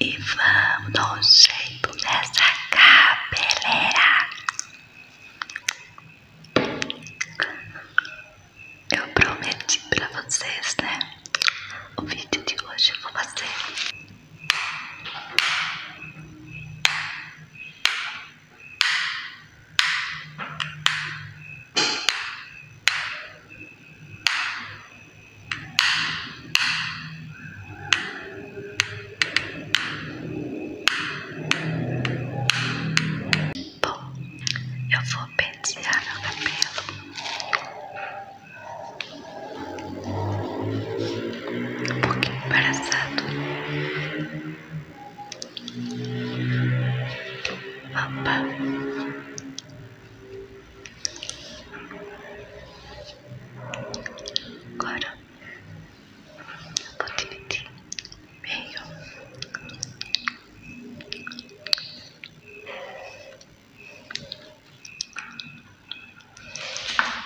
E vamos dar jeito nessa cabeleira. Eu prometi pra vocês, né? O vídeo de hoje eu vou fazer. Bom, eu vou pentear meu cabelo. Um pouquinho embaraçado. Opa. Agora eu vou dividir meio.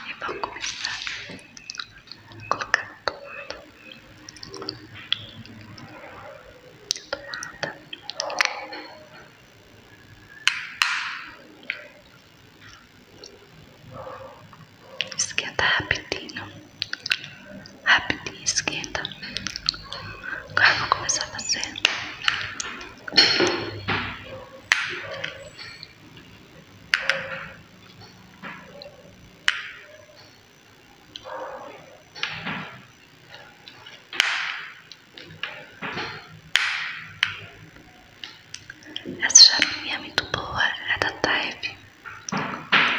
E vou começar a colocar tudo do Esquenta rapidinho. Rapidinho, esquenta. Agora vou começar a fazer. Essa charuminha é muito boa, é da Taif.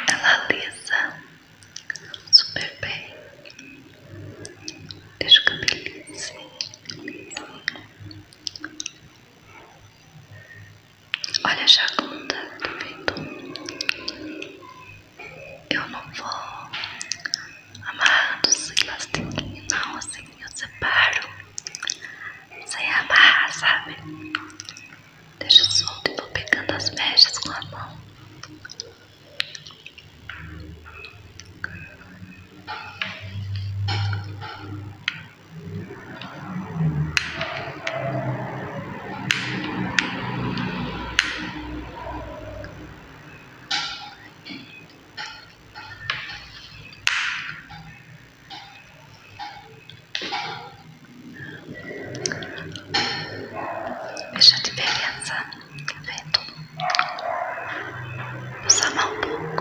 Ela alisa super bem. Deixa o cabelinho assim. Olha a jacunda, tá vendo? Eu não vou amarrando os elastiquinhos, não, assim eu separo, sem amarrar, sabe? Deixa solto e vou pegando as mechas com a mão. Veja a diferença, tá vendo? Usar um pouco.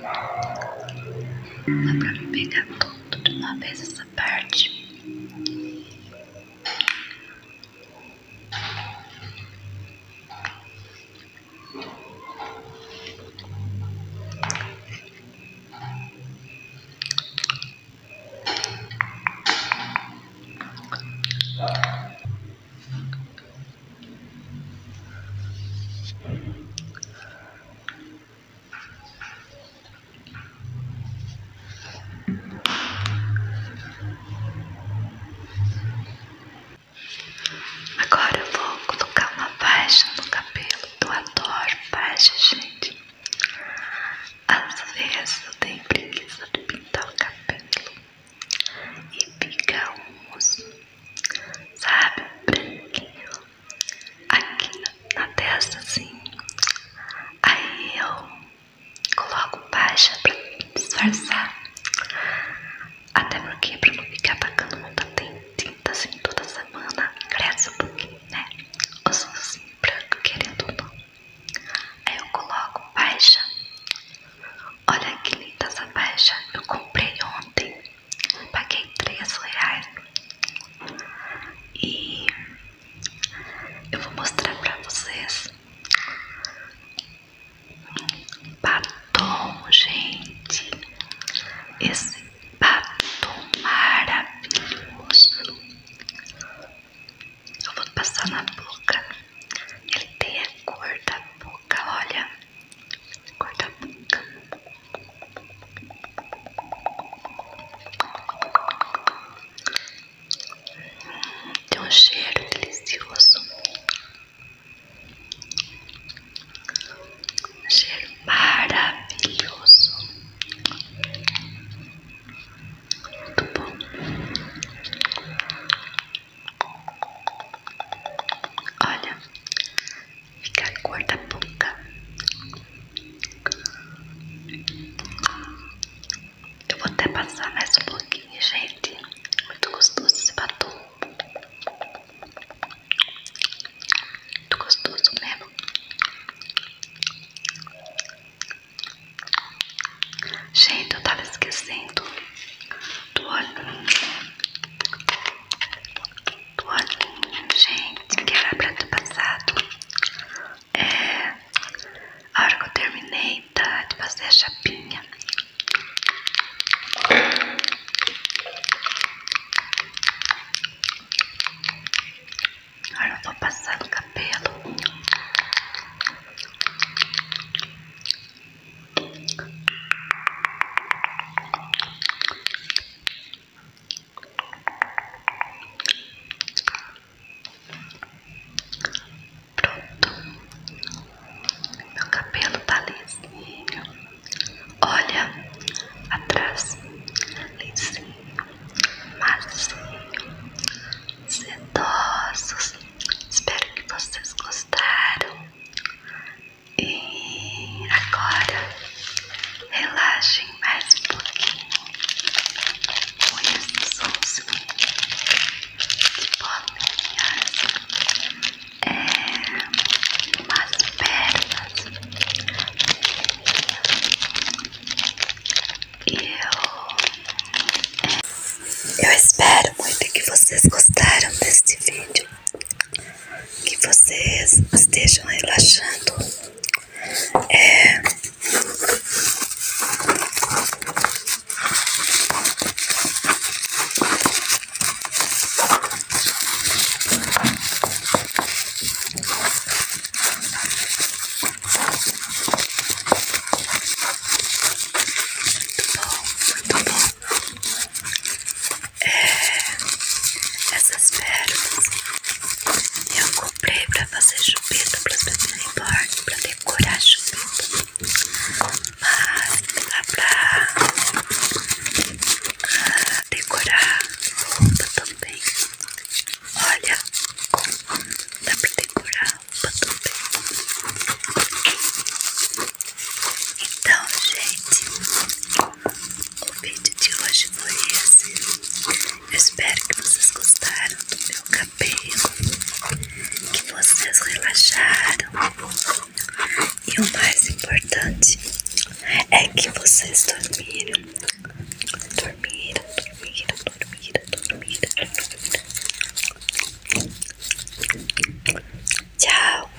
Dá pra me pegar tudo de uma vez essa parte. Agora eu vou colocar uma faixa no cabelo. Eu adoro faixas, gente. Às vezes eu tenho preguiça de pintar o cabelo e fica um, sabe, branquinho aqui na, testa assim. Aí eu coloco baixa pra disfarçar. Até porque pra não ficar pagando muita tinta assim toda semana, cresce um pouquinho, né? Os assim branco querendo ou não. Aí eu coloco baixa. Olha que linda essa baixa. Eu comprei ontem. Paguei 3 reais. E eu vou mostrar pra vocês. Batom, gente. Esse batom maravilhoso. Eu vou passar na boca. Ele tem a cor da boca, olha. Cor da boca. Tem um cheiro delicioso, cheiro maravilhoso, muito bom. Olha, fica a cor da boca. Eu vou até passar mais um pouquinho, gente. Muito gostoso esse batom. Muito gostoso mesmo. Gente, eu tava esquecendo do óleo Olhinho, gente, que era pra ter passado. É. A hora que eu terminei tá, de fazer a chapinha. Agora eu vou passar no cabelo. Pronto. Meu cabelo tá lisinho. Olha, atrás. Lisinho, macio. Sedosos. Espero que vocês gostaram. E agora relaxem mais um pouquinho com esses sons que podem as, é, umas pernas. E eu, é, eu espero muito que vocês gostaram deste vídeo que vocês estejam relaxando. É... Tá tá é, essas pérolas eu comprei pra fazer chupeta para as pessoas reborn, pra decorar chupeta. Mas dá pra ah, decorar roupa também. Olha, dá pra decorar roupa também. Então, gente, o vídeo de hoje foi esse. espero que vocês gostaram do meu cabelo, que vocês relaxaram. E o mais importante é que vocês Dormiram, dormiram, dormiram, dormiram, dormiram. Tchau!